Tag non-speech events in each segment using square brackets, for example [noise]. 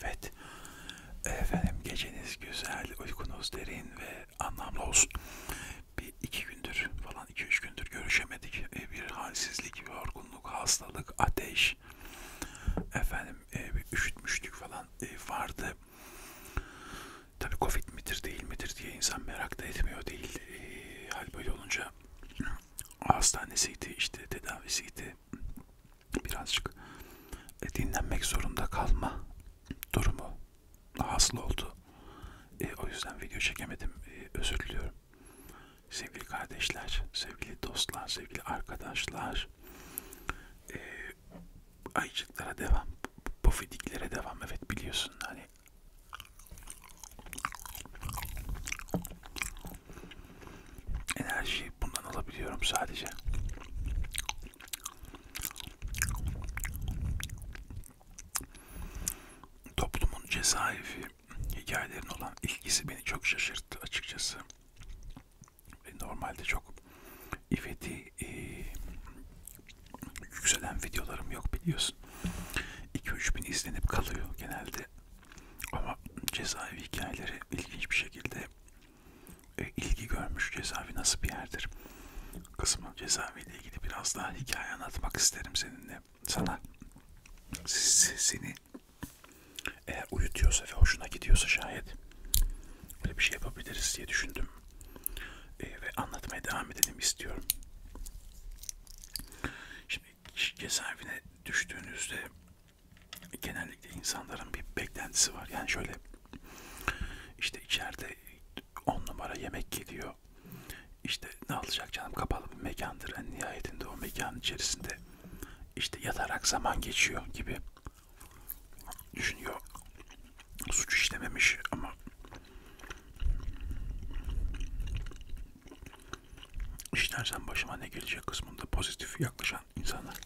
Evet. Efendim geceniz güzel, uykunuz derin ve anlamlı olsun. Bir iki gündür falan, iki üç gündür görüşemedik. E, bir halsizlik, bir yorgunluk, hastalık, ateş. Efendim e, bir üşütmüşlük falan e, vardı. Tabi Covid midir değil midir diye insan merak da etmiyor değil. Hal böyle olunca [clears throat] hastanesiydi, işte tedavisiydi, birazcık e, dinlenmek zorunda kalma durumu hasıl oldu. E, o yüzden video çekemedim. E, özür diliyorum. Sevgili kardeşler, sevgili dostlar, sevgili arkadaşlar, e, ayıcıklara devam, pofidiklere devam. Evet biliyorsun hani enerjiyi bundan alabiliyorum sadece. Toplumun cezaevi hikayelerine olan ilgisi beni çok şaşırttı açıkçası. Normalde çok ifeti e, yükselen videolarım yok biliyorsun. 2-3 bin izlenip kalıyor genelde. Ama cezaevi hikayeleri ilginç bir şekilde e, ilgi görmüş cezaevi nasıl bir yerdir kısmı cezaeviyle ilgili biraz daha hikaye anlatmak isterim seninle sana seni eğer uyutuyorsa ve hoşuna gidiyorsa şayet böyle bir şey yapabiliriz diye düşündüm e, ve anlatmaya devam edelim istiyorum şimdi cezaevine düştüğünüzde genellikle insanların bir beklentisi var. Yani şöyle işte içeride 10 numara yemek gidiyor. İşte ne alacak canım kapalı bir mekandır. En yani nihayetinde o mekan içerisinde işte yatarak zaman geçiyor gibi düşünüyor. Suç işlememiş ama işlersen başıma ne gelecek kısmında pozitif yaklaşım çalışan insanlar.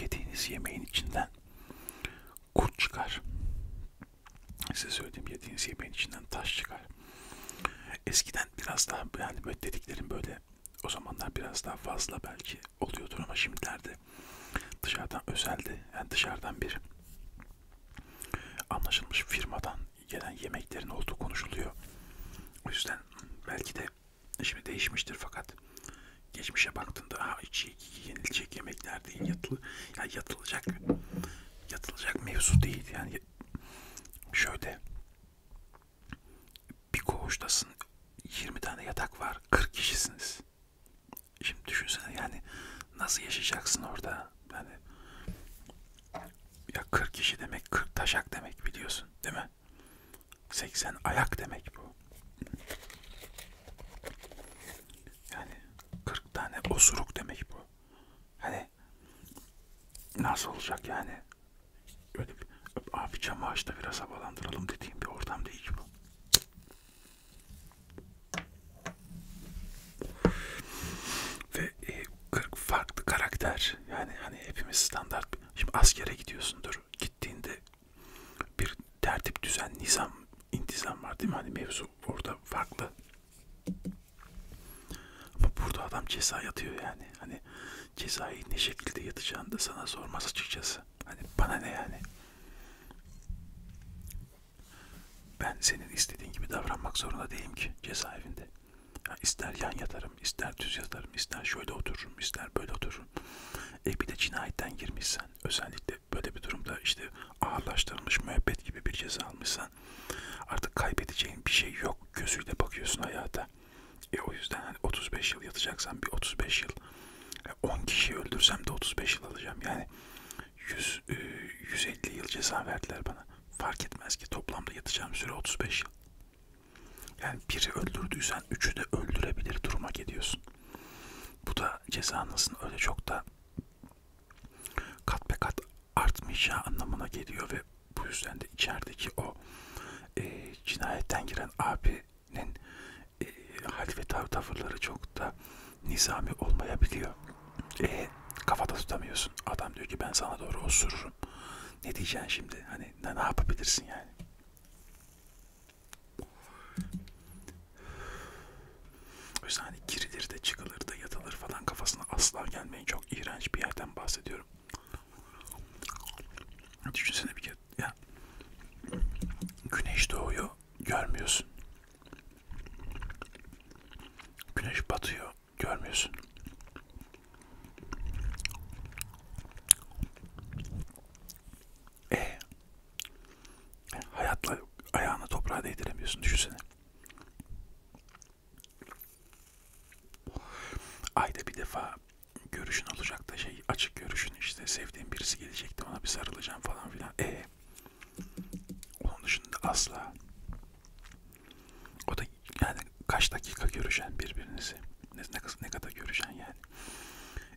Yediğiniz yemeğin içinden kurt çıkar. Size söylediğim yediğiniz yemeğin içinden taş çıkar. Eskiden biraz daha yani böyle dediklerim böyle o zamanlar biraz daha fazla belki oluyordur ama şimdilerde dışarıdan özeldi. Yani dışarıdan bir anlaşılmış firmadan gelen yemeklerin olduğu konuşuluyor. O yüzden belki de şimdi değişmiştir fakat geçmişe baktığında ha içi yenilecek yemekler değil yatılı ya yatılacak yatılacak mevzu değil yani şöyle bir koğuştasın 20 tane yatak var 40 kişisiniz Şimdi düşünsene yani nasıl yaşayacaksın orada? Yani ya 40 kişi demek 40 taşak demek biliyorsun değil mi? 80 ayak demek bu. Yani 40 tane osuruk demek bu. Hani nasıl olacak yani? Öyle bir, abi cam ağaçta biraz havalandıralım dediğim bir ortam değil bu. Ve e, 40 farklı karakter. Yani hani hepimiz standart. Şimdi askere gidiyorsundur. Gittiğinde bir tertip düzen, nizam, intizam var değil mi? Hani mevzu orada farklı. Ama burada adam ceza yatıyor yani. Hani cezayı ne şekilde yatacağını da sana sormaz açıkçası. Hani bana ne yani? Ben senin istediğin gibi davranmak zorunda değilim ki cezaevinde. Ya ister yan yatarım, ister düz yatarım, ister şöyle otururum, ister böyle otururum. E bir de cinayetten girmişsen, özellikle böyle bir durumda işte ağırlaştırılmış müebbet gibi bir ceza almışsan artık kaybedeceğin bir şey yok gözüyle bakıyorsun hayata. E o yüzden hani 35 yıl yatacaksan bir 35 yıl 10 kişi öldürsem de 35 yıl alacağım. Yani 100, 150 e, yıl ceza verdiler bana. Fark etmez ki toplamda yatacağım süre 35 yıl. Yani biri öldürdüysen üçü de öldürebilir duruma geliyorsun. Bu da cezanızın öyle çok da kat be kat artmayacağı anlamına geliyor ve bu yüzden de içerideki o e, cinayetten giren abinin e, hal ve tav tavırları çok da nizami olmayabiliyor. E, kafada tutamıyorsun. Adam diyor ki ben sana doğru osururum. Ne diyeceksin şimdi? Hani ne, ne yapabilirsin yani? O yüzden hani girilir de çıkılır da yatılır falan kafasına asla gelmeyin. Çok iğrenç bir yerden bahsediyorum. Düşünsene bir kere. Ya, güneş doğuyor görmüyorsun. Güneş batıyor, görmüyorsun. E hayatla ayağını toprağa değdiremiyorsun düşünsene. Ayda bir defa görüşün olacak da şey açık görüşün işte sevdiğim birisi gelecekti ona bir sarılacağım falan filan. E onun dışında asla. O da yani kaç dakika görüşen birbirinizi. Ne, ne kadar görüşen yani.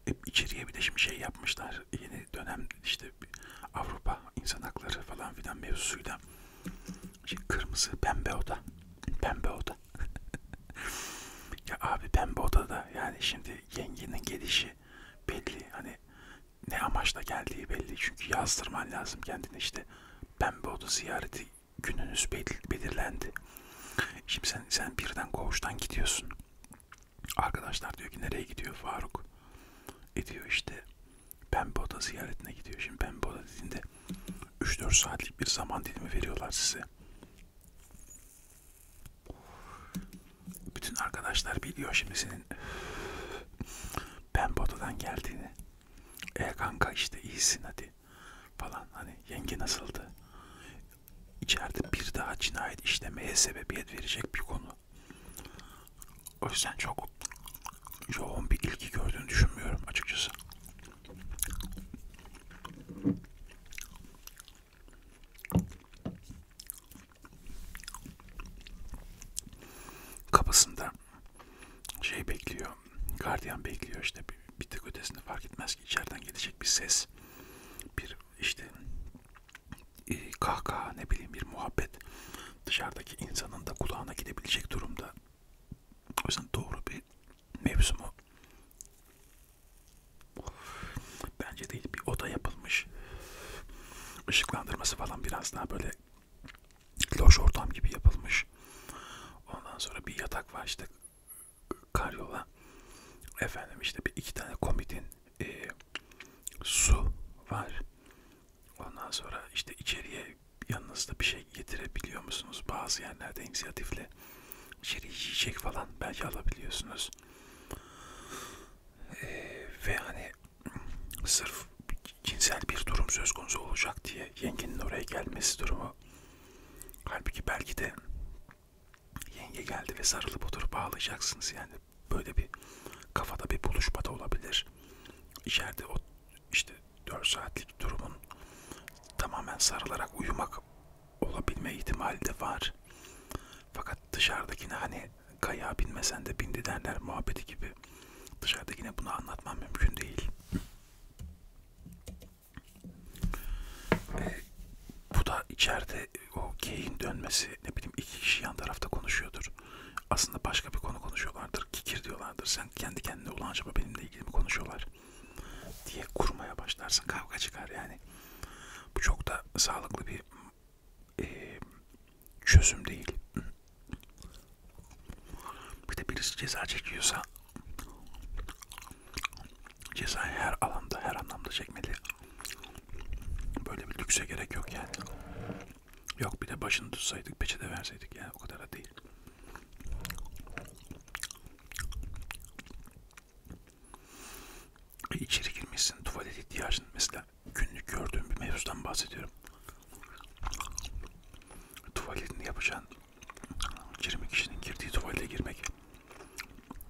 Hep içeriye bir de şimdi şey yapmışlar. Yeni dönem işte Avrupa insan hakları falan filan mevzusuyla. Şey, kırmızı pembe oda. Pembe oda. [laughs] ya abi pembe odada yani şimdi yengenin gelişi belli. Hani ne amaçla geldiği belli. Çünkü yazdırman lazım kendini işte. Pembe oda ziyareti gününüz belirlendi. Şimdi sen, sen birden koğuştan gidiyorsun. Arkadaşlar diyor ki nereye gidiyor Faruk? E diyor işte pembe oda ziyaretine gidiyor. Şimdi pembe oda dediğinde 3-4 saatlik bir zaman dilimi veriyorlar size. Bütün arkadaşlar biliyor şimdi senin ben Batu'dan geldiğini. E kanka işte iyisin hadi falan hani yenge nasıldı? İçeride bir daha cinayet işlemeye sebebiyet verecek bir konu. O yüzden çok yoğun bir ilgi gördüğünü düşünmüyorum açıkçası. Kapısında şey bekliyor. Gardiyan bekliyor işte bir, bir tık ötesinde fark etmez ki içeriden gelecek bir ses. Bir işte e, kahkaha ne bileyim bir muhabbet dışarıdaki insanın da kulağına gidebilecek durumda. O yüzden doğru bir mevzumu Bence değil bir oda yapılmış. Işıklandırması falan biraz daha böyle loş ortam gibi yapılmış. Ondan sonra bir yatak var işte karyola. Efendim işte bir iki tane komitin e, su var. Ondan sonra işte içeriye yanınızda bir şey getirebiliyor musunuz? Bazı yerlerde inisiyatifle içeri yiyecek falan belki alabiliyorsunuz. Ee, ve hani sırf cinsel bir durum söz konusu olacak diye yengenin oraya gelmesi durumu. Halbuki belki de yenge geldi ve sarılıp oturup bağlayacaksınız yani. Böyle bir kafada bir buluşma da olabilir. İçeride o işte 4 saatlik durumun tamamen sarılarak uyumak olabilme ihtimali de var. Fakat dışarıdakine hani kayağa binmesen de bindi derler muhabbeti gibi. Dışarıda yine bunu anlatmam mümkün değil. E, bu da içeride e, o geyin dönmesi ne bileyim iki kişi yan tarafta konuşuyordur. Aslında başka bir konu konuşuyorlardır. Kikir diyorlardır. Sen kendi kendine ulan acaba benimle ilgili mi konuşuyorlar diye kurmaya başlarsın. Kavga çıkar yani. Bu çok da sağlıklı bir e, çözüm değil. Bir de birisi ceza çekiyorsa cezayı her alanda, her anlamda çekmeli. Böyle bir lükse gerek yok yani. Yok bir de başını tutsaydık, peçete verseydik yani o kadar da değil. E, içeri girmişsin, tuvalet ihtiyacın mesela böyle günlük gördüğüm bir mevzudan bahsediyorum. Tuvaletini yapacağın 20 kişinin girdiği tuvalete girmek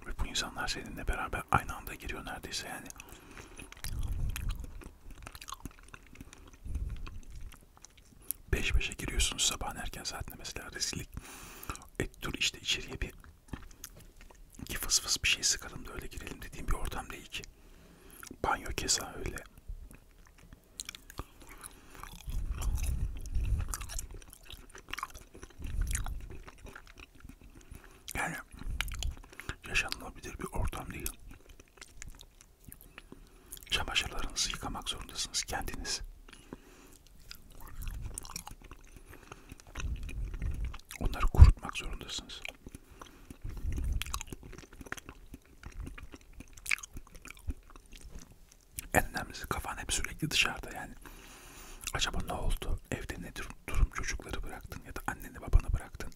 ve bu insanlar seninle beraber aynı anda giriyor neredeyse yani. Beş beşe giriyorsunuz sabahın erken saatinde mesela rezillik. E dur işte içeriye bir ki fıs fıs bir şey sıkalım da öyle girelim dediğim bir ortam değil ki. Banyo keza öyle. Yani yaşanılabilir bir ortam değil. Çamaşırlarınızı yıkamak zorundasınız kendiniz onları kurutmak zorundasınız. En önemlisi kafan hep sürekli dışarıda yani. Acaba ne oldu? Evde ne durum, durum çocukları bıraktın ya da anneni babanı bıraktın.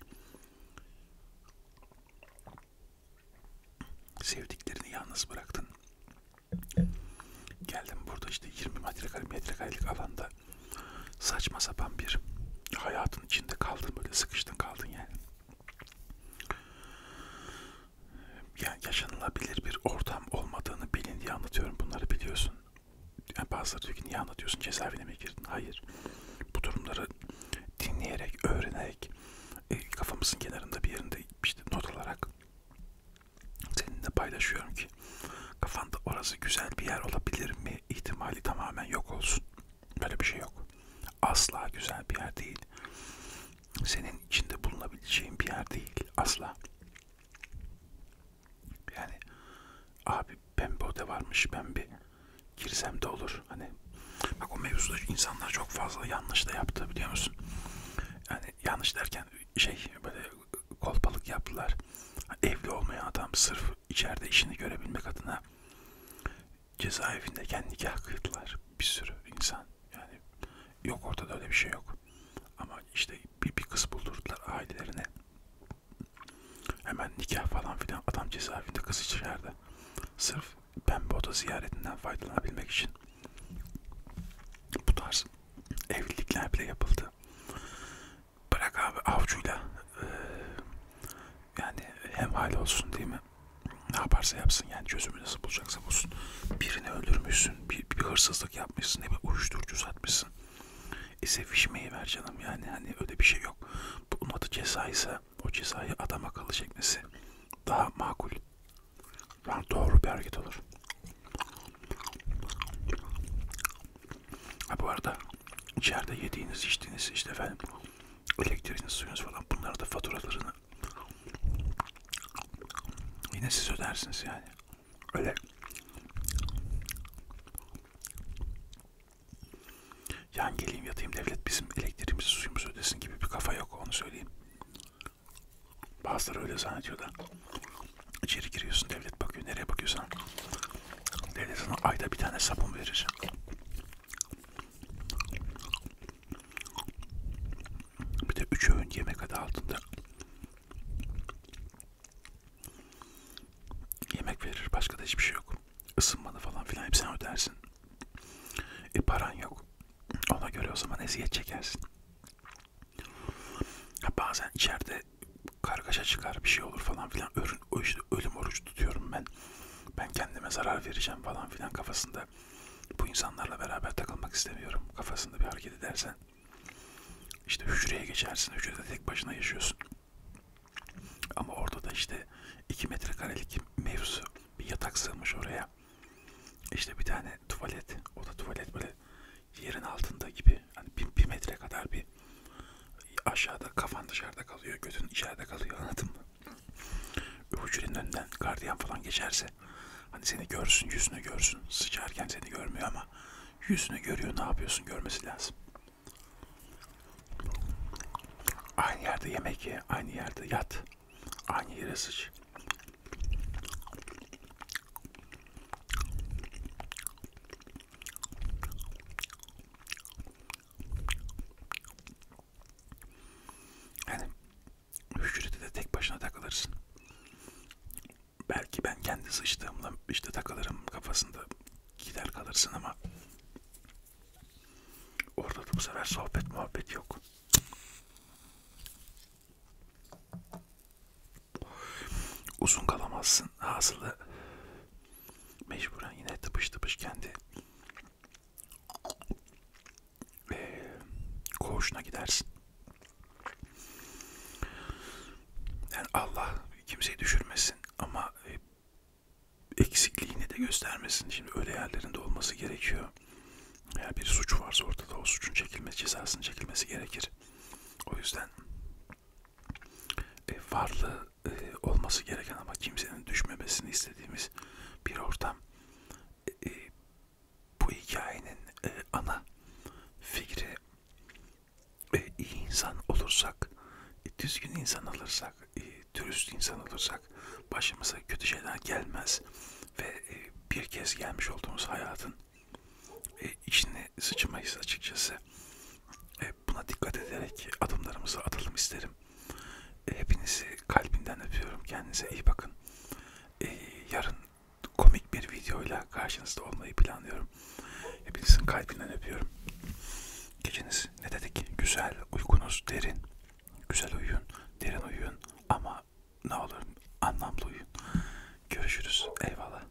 Sevdiklerini yalnız bıraktın. Geldim burada işte 20 metrekarelik metrekarelik alanda saçma sapan bir hayatın içinde kaldın böyle sıkıştın kaldın yani. Yani yaşanılabilir bir ortam olmadığını bilin diye anlatıyorum bunları biliyorsun. Yani bazıları diyor ki niye anlatıyorsun cezaevine mi girdin? Hayır. Bu durumları dinleyerek, öğrenerek, e, kafamızın kenarında bir yerinde işte not alarak seninle paylaşıyorum ki Kafanda orası güzel bir yer olabilir mi ihtimali tamamen yok olsun. Böyle bir şey yok. Asla güzel bir yer değil. Senin içinde bulunabileceğin bir yer değil. Asla. Yani abi pembe oda varmış ben bir girsem de olur. Hani bak o mevzuda insanlar çok fazla yanlış da yaptı biliyor musun? Yani yanlış derken şey böyle kolpalık yaptılar. Evli olmayan adam sırf içeride işini görebilmek adına cezaevinde kendi nikah kıydılar. Bir sürü insan. Yani yok ortada öyle bir şey yok. Ama işte bir, bir kız buldurdular ailelerine. Hemen nikah falan filan adam cezaevinde kız içeride. Sırf pembe oda ziyaretinden faydalanabilmek için. Bu tarz evlilikler bile yapıldı bırak abi avcuyla e, yani hem hal olsun değil mi? Ne yaparsa yapsın yani çözümü nasıl bulacaksa bulsun. Birini öldürmüşsün, bir, bir hırsızlık yapmışsın, ne bir uyuşturucu satmışsın. E sevişmeyi ver canım yani hani öyle bir şey yok. Bunun adı ceza ise o cezayı adama akıllı çekmesi daha makul. Yani doğru bir hareket olur. Ha bu arada içeride yediğiniz içtiğiniz işte efendim elektriğiniz suyunuz falan bunlar da faturalarını yine siz ödersiniz yani. Öyle yan geleyim yatayım devlet bizim elektriğimizi suyumuzu ödesin gibi bir kafa yok onu söyleyeyim. Bazıları öyle zannediyor da. İçeri giriyorsun devlet bakıyor. Nereye bakıyorsan devlet sana ayda bir tane sabun verir. Bir de üç öğün yemek adı altında yemek verir. Başka da hiçbir şey yok. Isınmanı falan filan hep sen ödersin. E paran yok. Ona göre o zaman eziyet çekersin. Bazen içeride işte kargaşa çıkar bir şey olur falan filan Örün, o işte ölüm orucu tutuyorum ben ben kendime zarar vereceğim falan filan kafasında bu insanlarla beraber takılmak istemiyorum kafasında bir hareket edersen işte hücreye geçersin hücrede tek başına yaşıyorsun ama orada da işte 2 metrekarelik mevzu bir yatak sığmış oraya işte bir tane tuvalet o da tuvalet böyle yerin altında gibi hani bir, bir metre kadar bir aşağıda kafan dışarıda kalıyor götün içeride kalıyor anladın mı? Hücrenin önünden gardiyan falan geçerse hani seni görsün yüzünü görsün sıçarken seni görmüyor ama yüzünü görüyor ne yapıyorsun görmesi lazım. Aynı yerde yemek ye, aynı yerde yat, aynı yere sıç. Yani hücrede de tek başına takılırsın. Belki ben kendi sıçtığımda işte takılırım kafasında gider kalırsın ama orada da bu sefer sohbet muhabbet yok uzun kalamazsın hasılı mecburen yine tıpış tıpış kendi e, koğuşuna gidersin. Yani Allah kimseyi düşürmesin ama e, eksikliğini de göstermesin. Şimdi öyle yerlerinde olması gerekiyor. Eğer bir suç varsa ortada o suçun çekilmesi, cezasının çekilmesi gerekir. O yüzden e, varlığı e, olması gereken ama kimsenin düşmemesini istediğimiz bir ortam. E, e, bu hikayenin e, ana fikri e, iyi insan olursak, e, düzgün insan olursak, e, dürüst insan olursak başımıza kötü şeyler gelmez ve e, bir kez gelmiş olduğumuz hayatın e, içine sıçmayız açıkçası. E, buna dikkat ederek adımlarımızı atalım isterim. E, hepinizi kalbimden öpüyorum. Kendinize iyi bakın. E, yarın komik bir videoyla karşınızda olmayı planlıyorum. Hepinizin kalbinden öpüyorum. Geceniz ne dedik? Güzel, uykunuz derin. Güzel uyuyun, derin uyuyun ama ne olur anlamlı uyuyun. Görüşürüz. Eyvallah.